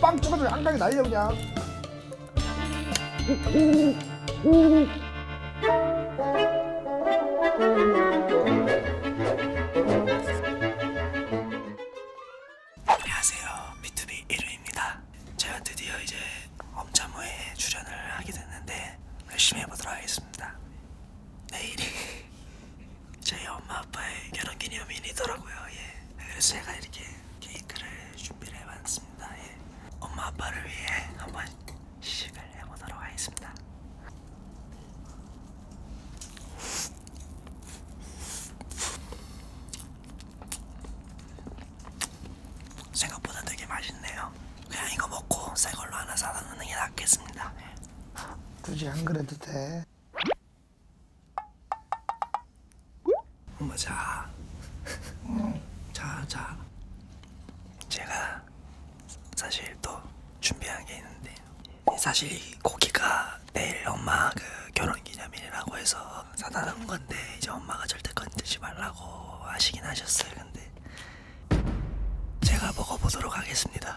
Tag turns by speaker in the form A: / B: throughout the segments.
A: 빵 찍어줘 한강에 날려 그냥 안녕하세요 B2B 1루입니다 제가 드디어 이제 엄자무에 출연을 하게 됐는데 열심히 해보도록 하겠습니다 내일이 저희 엄마 아빠의 결혼 기념일이더라고요. 예. 그래서 제가 이렇게 케이크를 준비를 해봤습니다. 예. 엄마 아빠를 위해 한번 시식을 해보도록 하겠습니다. 생각보다 되게 맛있네요. 그냥 이거 먹고 새 걸로 하나 사다 놓는 게 낫겠습니다. 예. 굳이 안 그래도 돼. 엄마 자. 자, 자. 제가 사실 또 준비한 게 있는데 사실 이 고기가 내일 엄마 그 결혼 기념일이라고 해서 사다 놓은 건데 이제 엄마가 절대 건드지 말라고 하시긴 하셨어요. 근데 제가 먹어보도록 하겠습니다.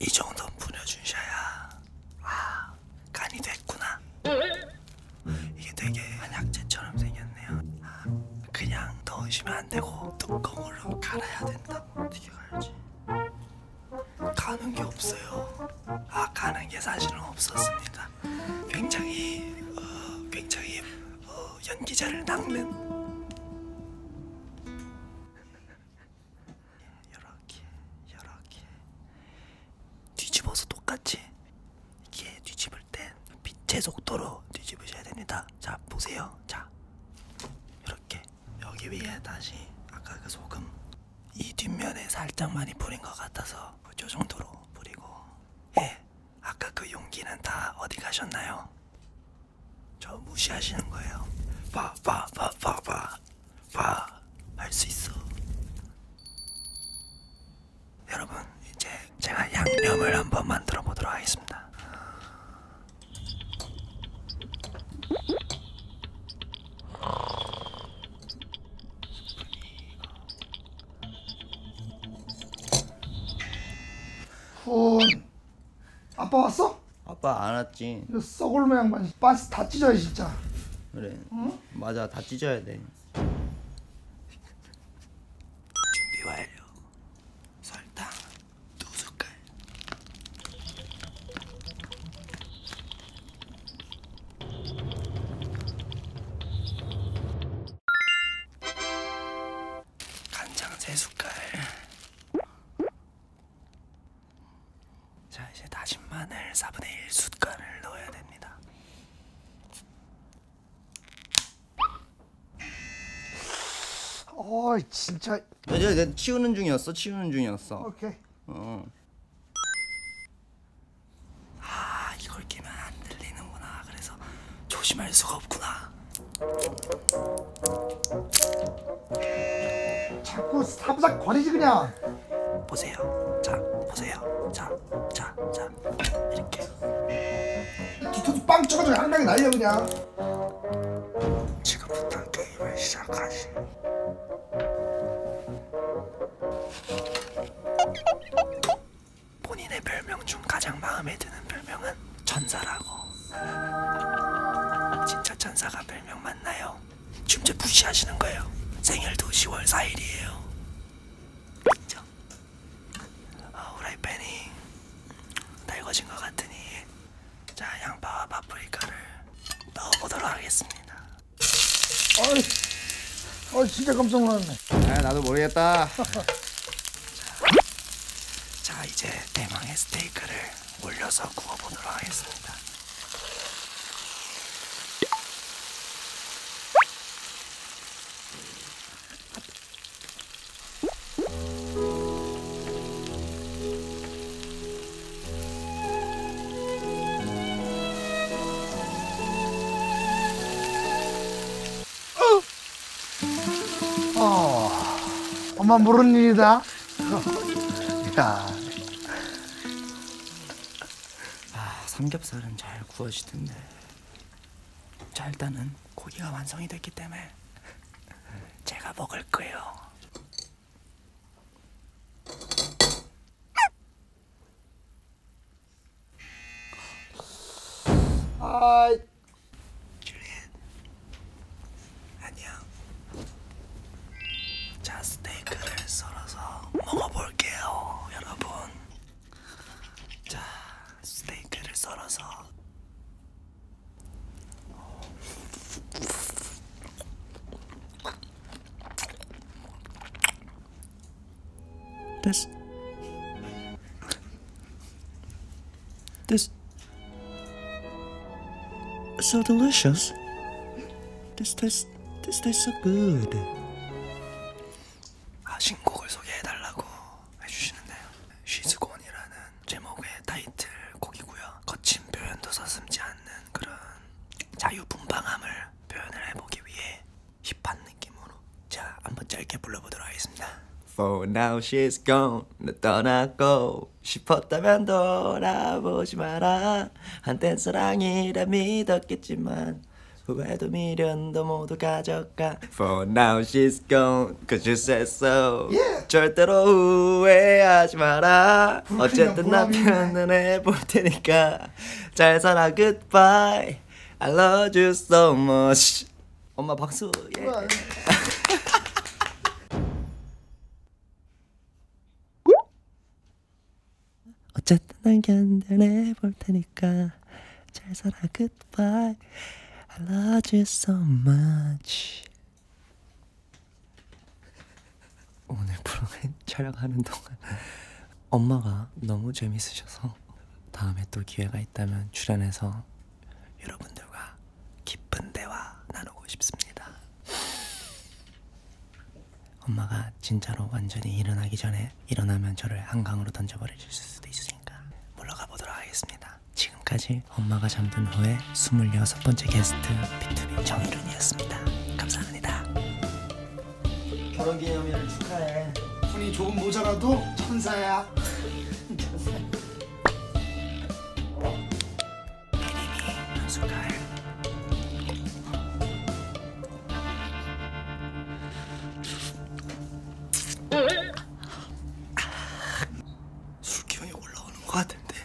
A: 이 정도 뿌려주셔야 아 간이 됐구나 이게 되게 한약재처럼 생겼네요 아, 그냥 넣으시면 안되고 뚜껑으로 갈아야 된다 어떻게 갈지 가는 게 없어요 아 가는 게 사실은 없었습니다 있습니다. 굉장히 어, 굉장히 어, 연기자를 낚는 이렇게 이렇게 뒤집어서 똑같이 이렇게 뒤집을 땐 빛의 속도로 뒤집으셔야 됩니다. 자 보세요. 자 이렇게 여기 위에 다시 아까 그 소금 이 뒷면에 살짝 많이 뿌린 것 같아서 그 정도로 뿌리고 예 아까 그 용기는 다 어디 가셨나요? 저 무시하시는 거예요. 봐, 봐, 봐, 봐, 봐, 봐. 할수 있어. 여러분, 이제 제가 양념을 한번 만들어 보도록 하겠습니다. 어, 아빠 왔어? 아빠 안 왔지. 이거 썩을 모양반 반스 다 찢어요 진짜. 그래. 응? 맞아 다 찢어야 돼. 준비 완료. 설탕 두 숟갈. 간장 세 숟갈. 자 이제 다진 마늘 4분의 1 숟갈을 넣어야 됩니다. 어 진짜. 이제 치우는 중이었어. 치우는 중이었어. 오케이. 어. 아 이걸 끼면 안 들리는구나. 그래서 조심할 수가 없구나. 자꾸 사부작 거리지 그냥. 보세요. 자 보세요. 자 자자 자, 자, 이렇게. 뒤통수 빵 쳐가지고 한방에 날려 그냥. 지금부터 게임을 시작하지. 본인의 별명 중 가장 마음에 드는 별명은 천사라고. 진짜 천사가 별명 맞나요? 춤제 부시하시는 거예요. 생일도 10월 4일이에요. 그쵸? 어, 후라이팬이 다 익어진 것 같으니 자 양파와 파프리카를 넣어보도록 하겠습니다. 아, 아 진짜 깜짝 놀랐네. 네. 아 나도 모르겠다. 자 이제 대망의 스테이크를 올려서 구워보도록 하겠습니다. 어. 어, 엄마 모르는 일이다. 야. 아, 삼겹살은 잘 구워지던데. 자, 일단은 고기가 완성이 됐기 때문에 제가 먹을 거예요. 아, 줄리엔, 안녕. 자, 스테이크를 썰어서 먹어볼게요, 여러분. 자, 스테이크를 썰어서. Das. This. So delicious. This tastes. This tastes so good. 아 신곡을 소개해달라고 해주시는데요. 시즈곤이라는 제목의 타이틀 곡이고요. 거친 표현도 서슴지 않는 그런 자유분방함을 표현을 해보기 위해 힙한 느낌으로 자 한번 짧게 불러보도록 하겠습니다 For now she's gone 너 떠나고 싶었다면 돌아보지 마라 한땐 사랑이라 믿었겠지만 후회도 미련도 모두 가져가 For now she's gone Cause you said so yeah. 절대로 후회하지 마라 어쨌든 남편은 해볼 테니까 잘 살아 goodbye 예. I love you so much. 엄마 박수. 예. 어쨌든 난 견뎌내 볼 테니까 잘 살아 goodbye. I love you so much. 오늘 프로그램 촬영하는 동안 엄마가 너무 재밌으셔서 같고 다음에 또 기회가 있다면 출연해서 여러분들과 기쁜 대화 나누고 싶습니다. 엄마가 진짜로 완전히 일어나기 전에 일어나면 저를 한강으로 던져버리실 수도 있으니까 물러가 보도록 하겠습니다. 지금까지 엄마가 잠든 후에 26번째 게스트 B2B 정일훈이었습니다. 감사합니다. 결혼 기념일을 축하해. 돈이 조금 모자라도 천사야. 축하해. 술 기운이 올라오는 것 같은데.